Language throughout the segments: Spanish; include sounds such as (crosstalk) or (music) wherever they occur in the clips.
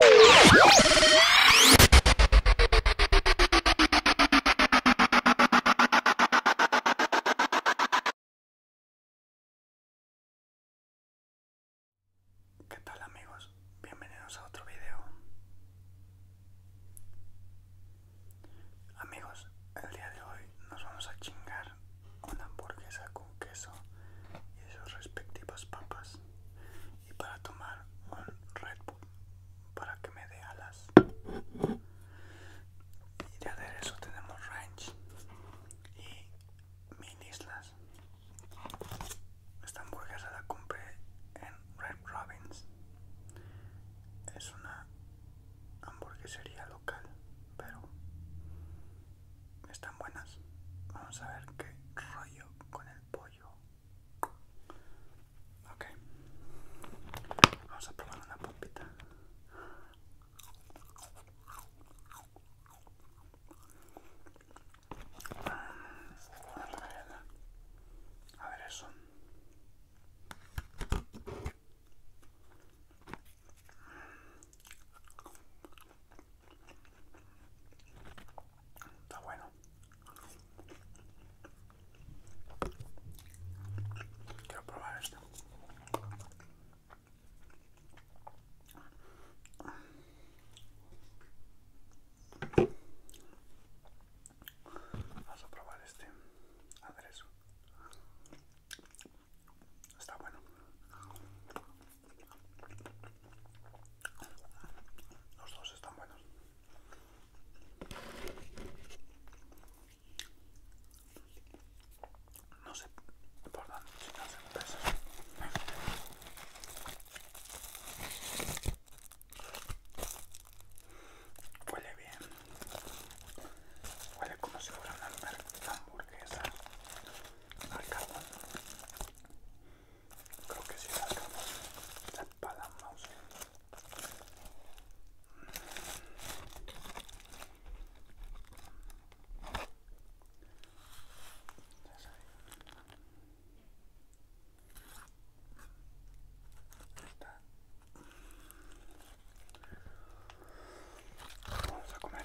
¿Qué tal amigos? Bienvenidos a otro video. Amigos, el día de hoy nos vamos a chingar una hamburguesa con queso y sus respectivas papas y para tomar un Red Bull para que me dé alas. Y de aderezo tenemos ranch y mil islas. Esta hamburguesa la compré en Red Robins. Es una hamburguesería local, pero están buenas. Vamos a ver qué rollo con el pollo. Okay, Ok. Vamos a probar una pompita. A ver eso. Está bueno. Quiero probar esto. Vamos a probar este aderezo. Está bueno. Los dos están buenos. No sé por dónde chicas se peso, Huele bien. Huele como si fuera una hamburguesa al carbón creo que si sacamos la pala mouse Está. Vamos a comer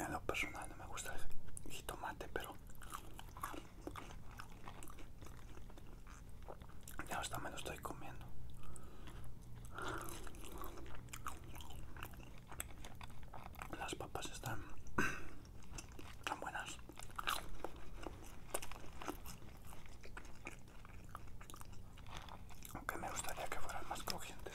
en lo personal no me gusta el jitomate, pero ya hasta me lo estoy comiendo. Las papas están (clears throat) tan buenas. Aunque me gustaría que fueran más crujientes.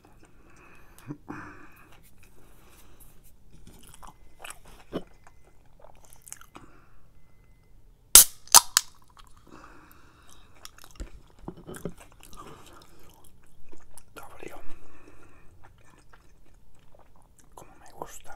Está Como me gusta.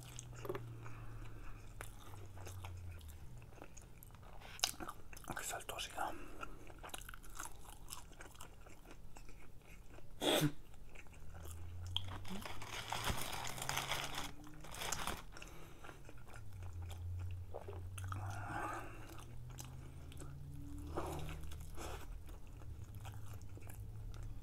Aquí Qué saltosidad.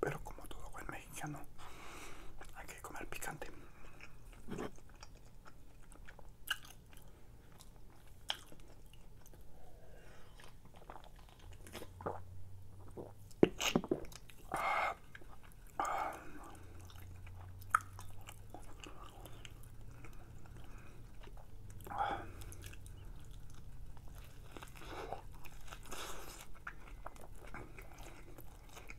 Pero como todo buen mexicano, hay que comer picante.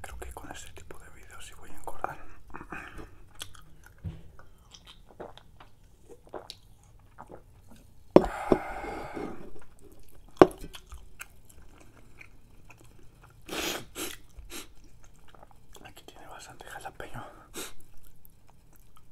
Creo que con este tipo de videos y voy a engordar. Aquí tiene bastante jalapeño.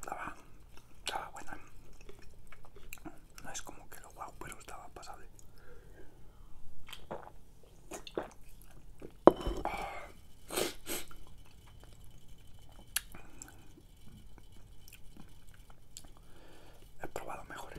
Estaba, estaba buena. No es como que lo guapo, pero estaba pasable. He probado mejores.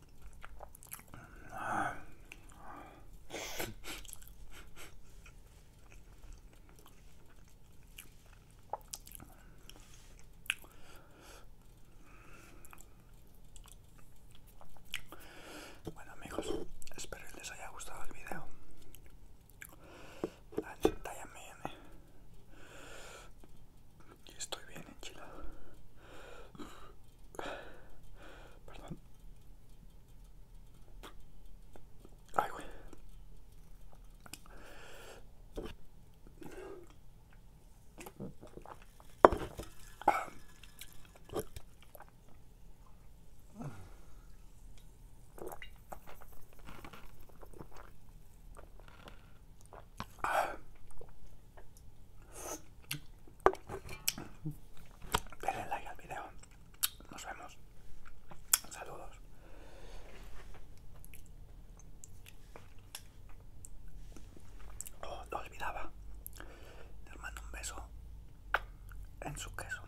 Bueno amigos, espero que les haya gustado el video estoy bien enchilado. Perdón. Ay, güey. Denle like al video. Nos vemos. Saludos. Oh, lo olvidaba. Les mando un beso en su queso.